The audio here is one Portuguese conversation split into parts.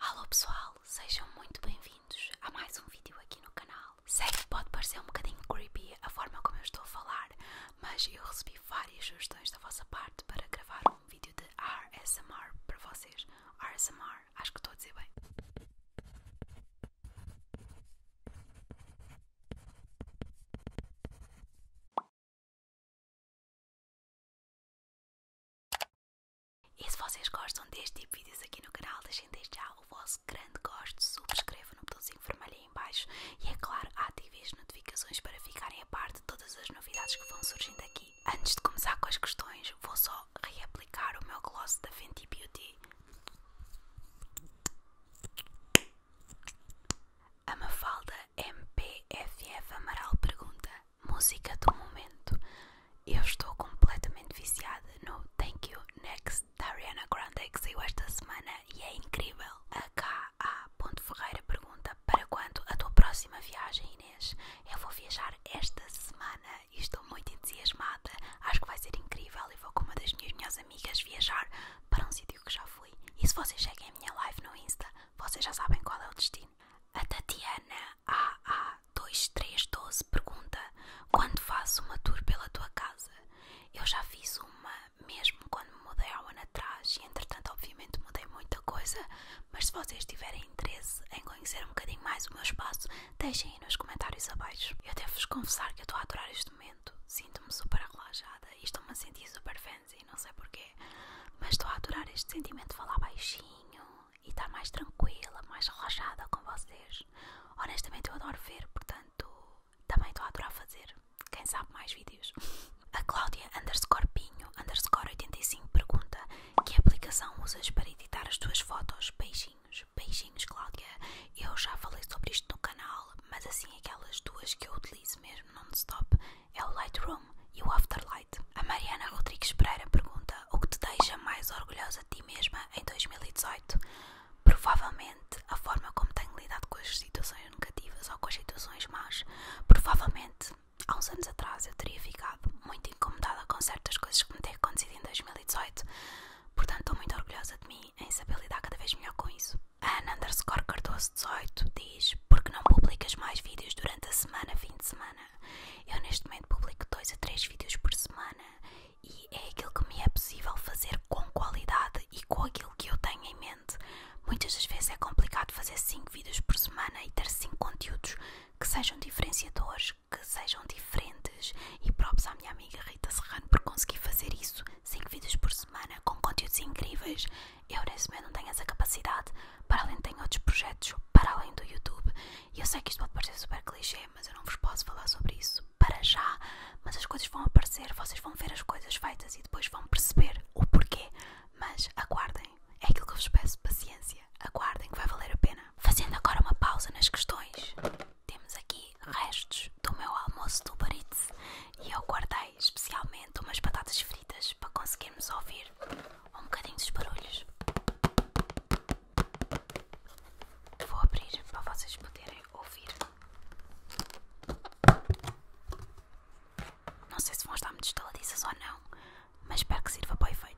Alô pessoal, sejam muito bem-vindos a mais um vídeo aqui no canal. Sei que pode parecer um bocadinho creepy a forma como eu estou a falar, mas eu recebi várias sugestões da vossa parte para gravar um vídeo de ASMR para vocês. ASMR, acho que estou a dizer bem. E se vocês gostam deste tipo de vídeos aqui no canal, deixem desde já o vosso grande gosto, subscrevam no botãozinho vermelho aí em baixo e, é claro, ativem as notificações para ficarem a parte de todas as novidades que vão surgindo aqui. Antes de começar com as questões, vou só reaplicar o meu gloss da Fenty Beauty. A Mafalda MPFF Amaral pergunta música do momento. Eu estou completamente viciada no Thank You Next da Ariana Grande que saiu esta semana e é incrível. A K.A. Ferreira pergunta: Para quando a tua próxima viagem, Inês? Eu vou viajar esta semana e estou muito entusiasmada. Acho que vai ser incrível e vou com uma das minhas melhores amigas viajar para um sítio que já fui. E se vocês seguem à minha live no Insta, vocês já sabem qual é o destino. A Tatiana AA2312 pergunta: Quando faço uma tour pela tua casa? Eu já fiz uma mesmo quando me mudei há um ano atrás, e entretanto, obviamente, mudei muita coisa. Mas se vocês tiverem interesse em conhecer um bocadinho mais o meu espaço, deixem aí nos comentários abaixo. Eu devo-vos confessar que estou a adorar este momento, sinto-me super relaxada e estou-me a sentir super fancy, não sei porquê, mas estou a adorar este sentimento de falar baixinho e está mais tranquila, mais relaxada com vocês. Honestamente, eu adoro ver, portanto, também estou a adorar fazer. Quem sabe mais vídeos? A Cláudia underscore Pinho underscore 85 pergunta: Que aplicação usas para editar as tuas fotos? Beijinhos, beijinhos, Cláudia. Eu já falei sobre isto no canal, mas assim, aquelas duas que eu utilizo mesmo non-stop é o Lightroom e o Afterlight. A Mariana Rodrigues Pereira pergunta: O que te deixa mais orgulhosa de ti mesma em 2018? Provavelmente a forma como tenho lidado com as situações negativas ou com as situações más. Provavelmente há uns anos atrás eu teria ficado muito incomodada com certas coisas que me têm acontecido em 2018. Portanto, estou muito orgulhosa de mim em saber lidar cada vez melhor com isso. A Ana underscore Cardoso 18 diz: Porque não publicas mais vídeos durante a semana, fim de semana? Eu neste momento publico dois a três vídeos por semana e é aquilo que me é possível fazer com qualidade e com aquilo que eu tenho em mente. Muitas das vezes é complicado fazer cinco vídeos por semana e ter cinco conteúdos que sejam diferenciadores, que sejam diferentes e próprios à minha amiga Rita Serrano por conseguir fazer isso cinco vídeos por semana com conteúdos incríveis. Eu nesse momento não tenho essa capacidade, para além, tem outros projetos para além do YouTube. E eu sei que isto pode parecer super clichê, mas eu não vos posso falar sobre isso para já. Mas as coisas vão aparecer, vocês vão ver as coisas feitas e depois vão perceber o porquê. Mas aguardem, é aquilo que eu vos peço: paciência. Aguardem que vai valer a pena. Fazendo agora uma pausa nas questões, temos aqui restos do meu almoço do Baritz e eu guardei especialmente umas batatas fritas para conseguirmos ouvir um bocadinho dos barulhos. Vou abrir para vocês poderem ouvir. Não sei se vão estar muito estaladiças ou não, mas espero que sirva para o efeito.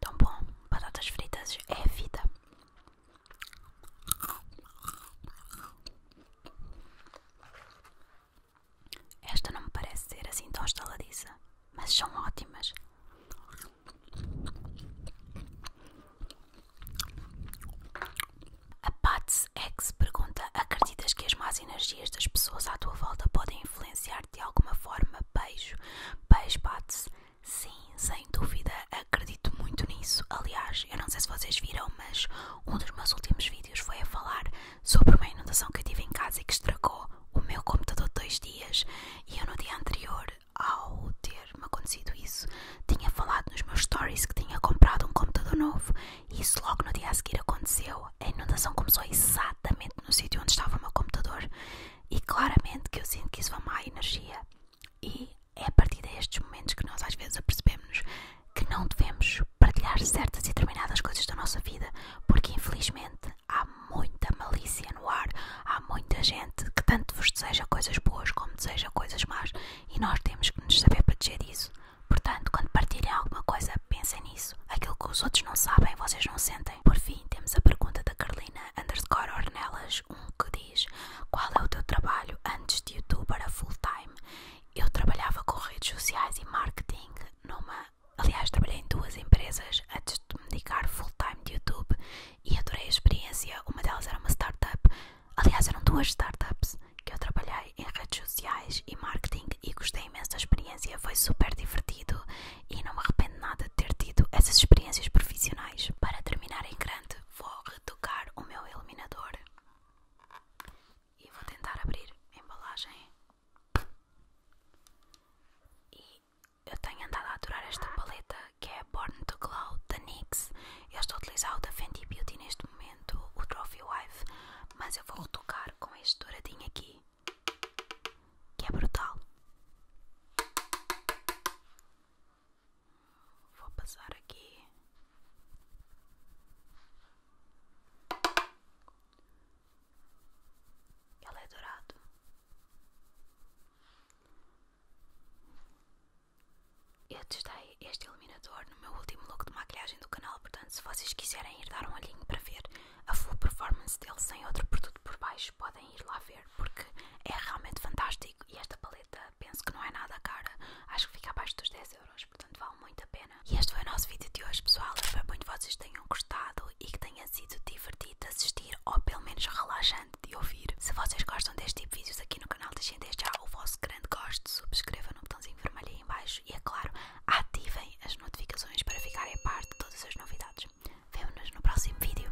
Tão bom, batatas fritas é vida. Esta não me parece ser assim tão estaladiça, mas são ótimas. A Pats X pergunta: Acreditas que as más energias das pessoas à tua volta podem influenciar? de alguma forma. Beijo. Beijo, Pats. Sim, sem dúvida, acredito muito nisso. Aliás, eu não sei se vocês viram, mas um dos meus últimos vídeos foi a falar sobre uma inundação que eu tive em casa e que estragou o meu computador dois dias. E eu, no dia anterior, ao ter-me acontecido isso, tinha falado nos meus stories que tinha comprado um computador novo. E isso logo no dia a seguir aconteceu. A inundação começou exatamente exatamente no sítio onde estava o meu computador e claramente que eu sinto que isso vai má energia e é a partir destes momentos que nós às vezes apercebemos que não devemos partilhar certas e determinadas coisas da nossa vida porque infelizmente há muita malícia no ar, há muita gente que tanto vos deseja coisas boas como deseja coisas más e nós temos que nos saber proteger disso. Portanto, quando partilhem alguma coisa, pensem nisso. Aquilo que os outros não sabem, vocês não sentem. Por fim, temos a pergunta da Carolina underscore Ornelas 1 um, que diz: Qual é o teu trabalho antes de YouTube para full time? Eu trabalhava com redes sociais e marketing numa. Aliás, trabalhei em duas empresas antes de me dedicar full time de YouTube e adorei a experiência. Uma delas era uma startup. Aliás, eram duas startups que eu trabalhei em redes sociais e Marketing e gostei imenso da experiência, foi super divertido e não me arrependo nada de ter tido essas experiências profissionais. Para terminar em grande, vou retocar o meu iluminador e vou tentar abrir a embalagem. E eu tenho andado a adorar esta paleta que é Born to Glow da NYX. Eu estou a utilizar o da Fenty Beauty neste momento, o Trophy Wife, mas eu vou retocar com este douradinho aqui que é brutal. Vou passar aqui ela é dourado. Eu testei este iluminador no meu último look de maquilhagem do canal, portanto, se vocês quiserem ir dar um olhinho para ver a full performance dele sem outro produto por baixo, podem ir lá ver porque é realmente fantástico e esta paleta penso que não é nada cara, acho que fica abaixo dos 10 euros, portanto vale muito a pena. E este foi o nosso vídeo de hoje pessoal, espero muito que vocês tenham gostado e que tenha sido divertido de assistir ou pelo menos relaxante de ouvir. Se vocês gostam deste tipo de vídeos aqui no canal, deixem desde já o vosso grande gosto, subscreva no botãozinho em vermelho embaixo e é claro, ativem as notificações para ficarem a parte de todas as novidades. Vemo-nos no próximo vídeo.